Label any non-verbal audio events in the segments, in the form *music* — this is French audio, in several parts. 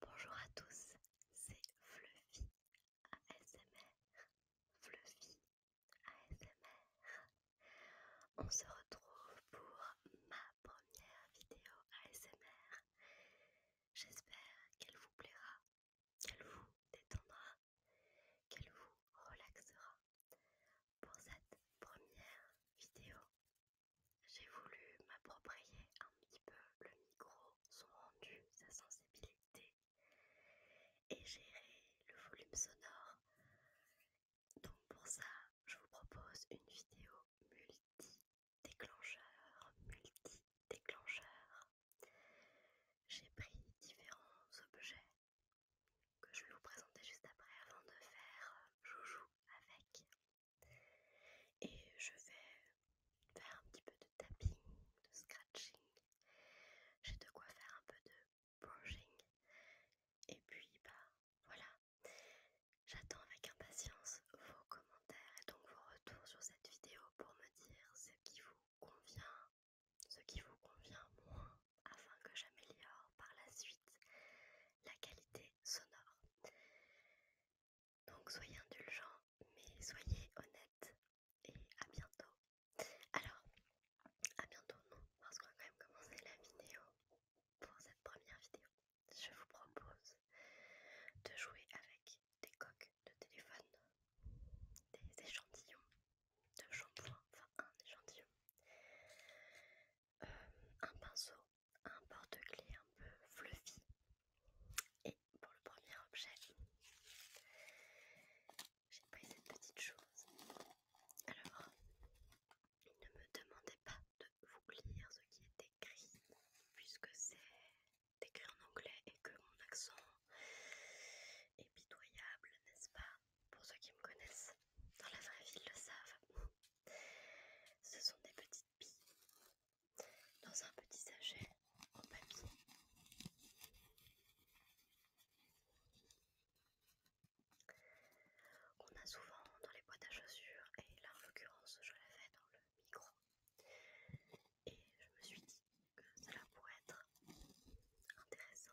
Bonjour à tous, c'est Fluffy ASMR. Fluffy ASMR. On se retrouve pour ma première vidéo ASMR. J'espère qu'elle vous plaira, qu'elle vous détendra, qu'elle vous relaxera. Pour cette première vidéo, j'ai voulu m'approprier un petit peu le micro, son rendu, sa sensibilité et gérer le volume sonore. Donc pour ça, je vous propose une vidéo multi-déclencheur, multi-déclencheur. J'ai pris différents objets que je vais vous présenter juste après avant de faire euh, joujou avec. Et je vais faire un petit peu de tapping, de scratching. J'ai de quoi faire un peu de brushing. Et puis, bah voilà. J'attends avec impatience vos commentaires et donc vos retours sur cette vidéo pour me dire ce qui vous convient, ce qui vous convient moins, afin que j'améliore par la suite la qualité sonore. Donc soyez indulgents, mais soyez honnêtes. Et à bientôt. Alors, à bientôt non, parce qu'on va quand même commencer la vidéo. Pour cette première vidéo, je vous propose de jouer avec des coques de téléphone, des échantillons de shampoing, enfin un échantillon, euh, un pinceau un porte-clés un peu fluffy. Et pour le premier objet, j'ai pris cette petite chose. Alors, ne me demandez pas de vous lire ce qui est écrit, puisque c'est écrit en anglais et que mon accent est pitoyable, n'est-ce pas Pour ceux qui me connaissent dans la vraie ville le savent. Ce sont des petites billes dans un petit sachet en papier. qu'on a souvent dans les boîtes à chaussures, et là en l'occurrence je l'avais dans le micro. Et je me suis dit que cela pourrait être intéressant.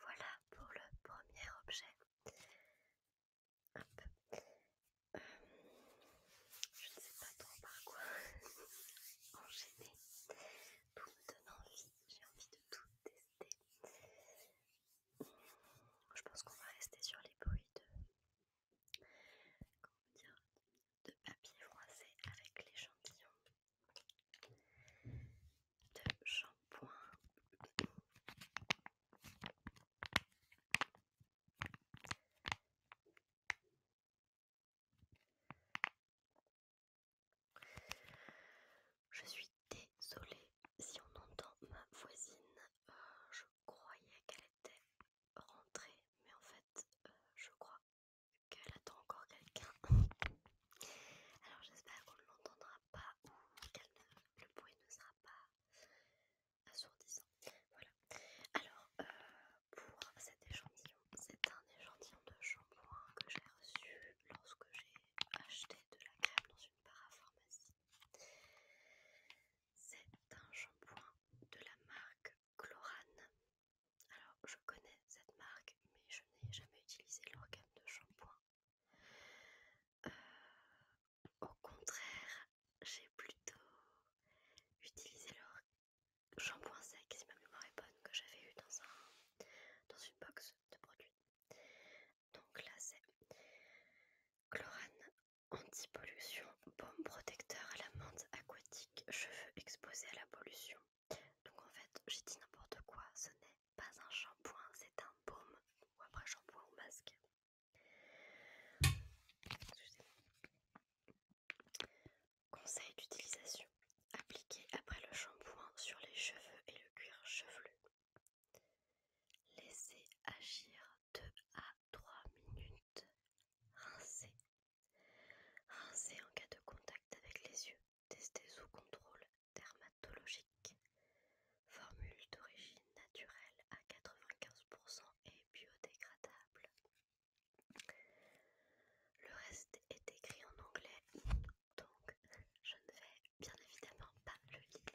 Voilà pour le premier objet. Euh, je ne sais pas trop par quoi *laughs* enchaîner. Tout me donne envie, j'ai envie de tout tester. Je pense qu'on va rester sur les bruits de, de papier froissé avec l'échantillon de shampoing. Je suis désolée si on entend ma voisine. Euh, je croyais qu'elle était rentrée, mais en fait, euh, je crois qu'elle attend encore quelqu'un. Alors j'espère qu'on ne l'entendra pas ou que le bruit ne sera pas assourdissant. Voilà. Alors, euh, pour cet échantillon, c'est un échantillon de shampoing que j'ai reçu lorsque j'ai acheté de la crème dans une parapharmacie. C'est un shampoing de la marque Chlorane. Alors, je connais cette marque, mais je n'ai jamais utilisé l'organe de shampoing. Euh, au contraire, j'ai plutôt utilisé leur shampoing sec, si ma mémoire est bonne, que j'avais eu dans, dans une box de produits. Donc là, c'est chlorane anti-pollution, baume protecteur à la menthe aquatique, cheveux exposés à la pollution. Donc en fait, j'ai dit n'importe quoi, ce n'est pas un shampoing, c'est un baume ou après shampoing ou masque. Conseil d'utilisation appliquer après le shampoing sur les cheveux et le cuir chevelu. Laissez agir 2 à 3 minutes. Rincez. Rincez en cas de contact avec les yeux. Tester sous contrôle dermatologique. Formule d'origine naturelle à 95% et biodégradable. Le reste est écrit en anglais, donc je ne vais bien évidemment pas le lire.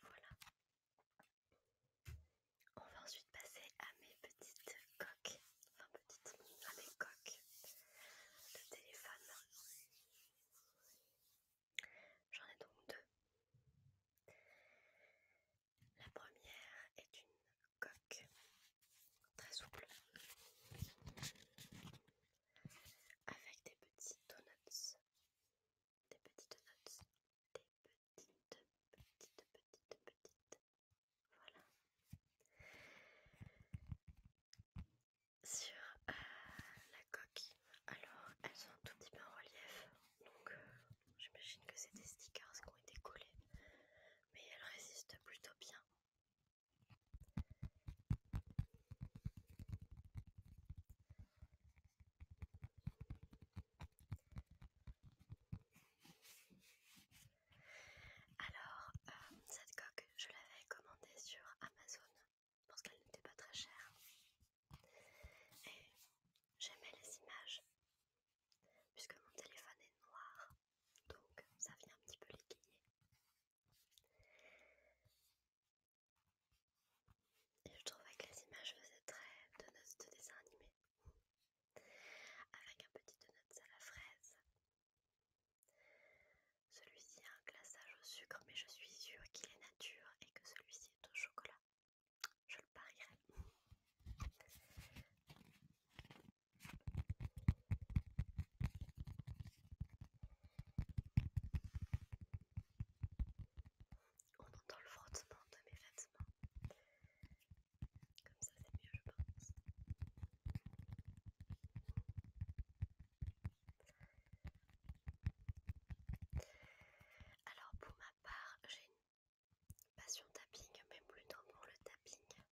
Voilà. On va ensuite passer à mes petites coques petit petite, avec coque de téléphone. J'en ai donc deux. La première est une coque très souple avec des petits donuts. Des petites donuts. Des petites, petites, petites, petites voilà. Sur euh, la coque, alors elles sont tout petit peu en relief, donc euh, j'imagine que c'est des stickers qui ont été collés, mais elles résistent plutôt bien. Alors, euh, cette coque, je l'avais commandée sur Amazon parce qu'elle n'était pas très chère. Et j'aimais les images puisque mon téléphone est noir, donc ça vient un petit peu l'équilibrer. Et je trouvais que les images faisaient très de notes de dessin animé. Avec un petit donut à la fraise celui-ci a un glaçage au sucre, mais je suis sûre qu'il est nature et que celui-ci est au chocolat. Je le parierais. On entend le frottement de mes vêtements. Comme ça, c'est mieux, je pense. Alors pour ma part, j'ai une passion tapping, même plutôt pour le tapping,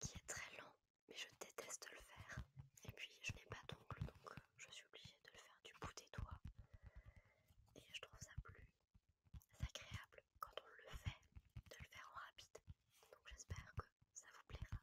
qui est très lent, mais je déteste le faire. Et puis je n'ai pas d'ongle, donc euh, je suis obligée de le faire du bout des doigts. Et je trouve ça plus agréable quand on le fait de le faire en rapide. Donc j'espère que ça vous plaira.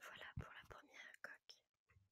Voilà pour la première coque.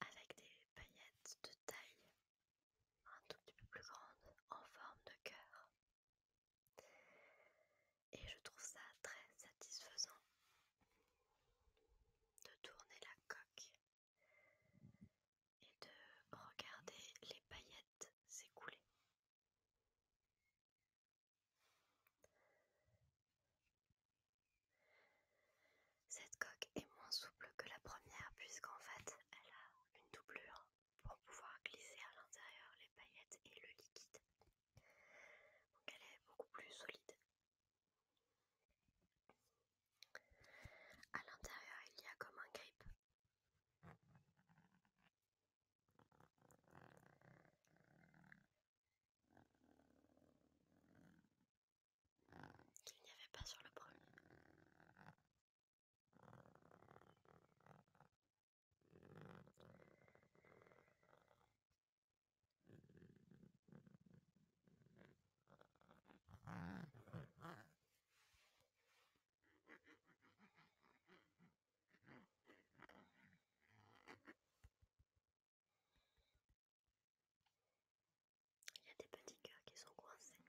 avec des paillettes de taille un tout petit peu plus grande en forme de cœur. Et je trouve ça très satisfaisant de tourner la coque et de regarder les paillettes s'écouler. Cette coque est moins souple que la première puisqu'en fait elle a une doublure pour pouvoir glisser à l'intérieur les paillettes et le liquide. Donc elle est beaucoup plus solide. À l'intérieur il y a comme un grip qu'il n'y avait pas sur le premier. Il y a des petits cœurs qui sont coincés.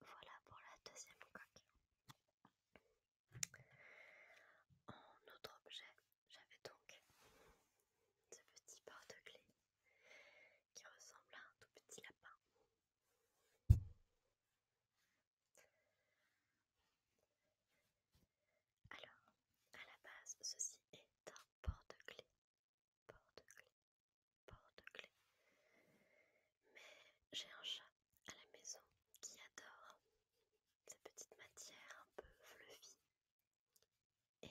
Voilà pour la deuxième coque. En autre objet, j'avais donc ce petit porte-clés qui ressemble à un tout petit lapin. Alors, à la base, ceci est un porte-clés porte-clés, porte clé Mais j'ai un chat à la maison qui adore sa petite matière un peu fluffy. Et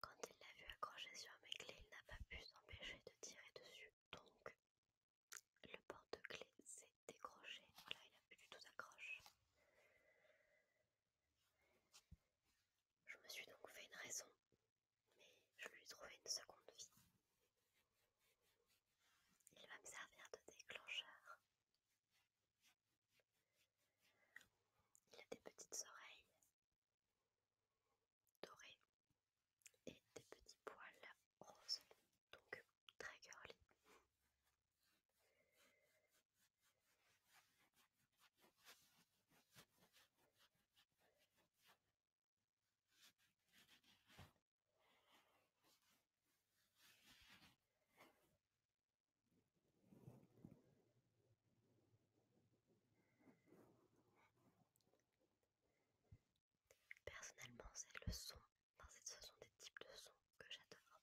quand il l'a vu accrocher sur mes clés, il n'a pas pu s'empêcher de tirer dessus. Donc le porte clé s'est décroché. là il n'a plus du tout d'accroche. Je me suis donc fait une raison, mais je lui ai trouvé une seconde vie. Il va me servir de déclencheur. Il a des petites oreilles dorées et des petits poils roses, donc très girly. Personnellement, c'est le son, dans ce sont des types de sons que j'adore.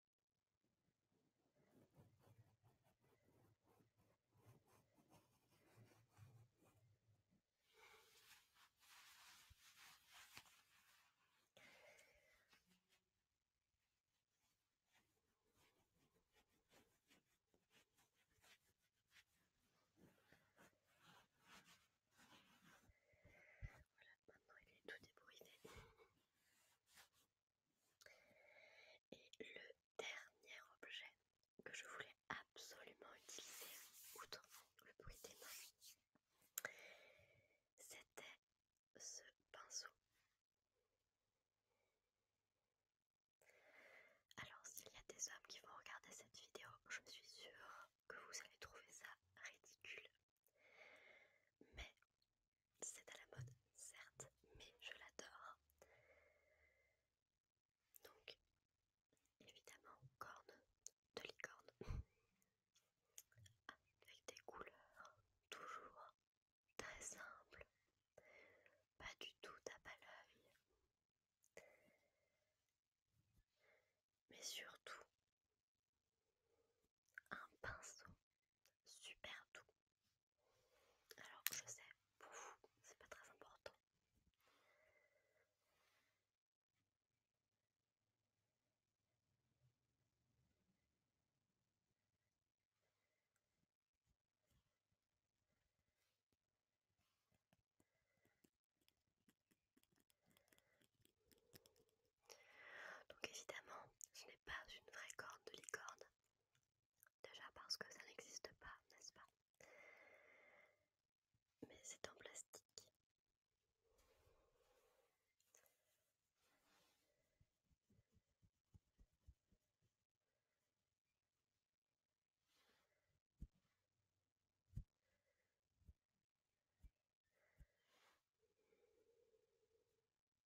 Voilà, maintenant il est tout débrouillé. Et le dernier objet que je voulais absolument utiliser, outre le bruit des mains, c'était ce pinceau. Alors s'il y a des hommes qui vont regarder cette vidéo, je suis sûre que vous allez trouver ça ridicule, mais c'est à la mode, certes, mais je l'adore. Donc, évidemment, corne de licorne. Avec des couleurs toujours très simples. Pas du tout tape à l'œil. Mais surtout, un pinceau super doux. Alors je sais, pour vous, c'est pas très important. Donc évidemment, ce n'est pas une vraie corde de licorne. Déjà parce que ça n'existe pas, n'est-ce pas Mais c'est en plastique.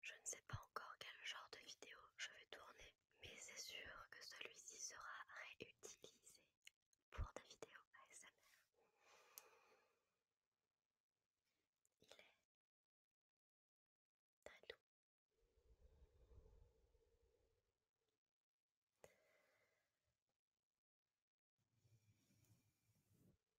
Je ne sais pas encore quel genre de vidéo je vais tourner, mais c'est sûr que celui-ci sera réutilisé pour des vidéos ASMR. Il est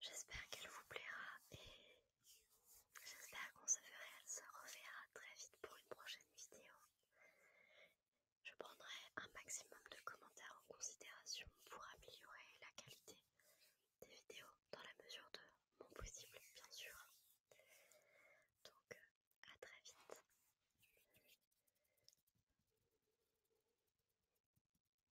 J'espère qu'elle vous plaira et j'espère qu'on se, se reverra très vite pour une prochaine vidéo. Je prendrai un maximum de commentaires en considération pour améliorer la qualité des vidéos dans la mesure de mon possible, bien sûr. Donc, à très vite.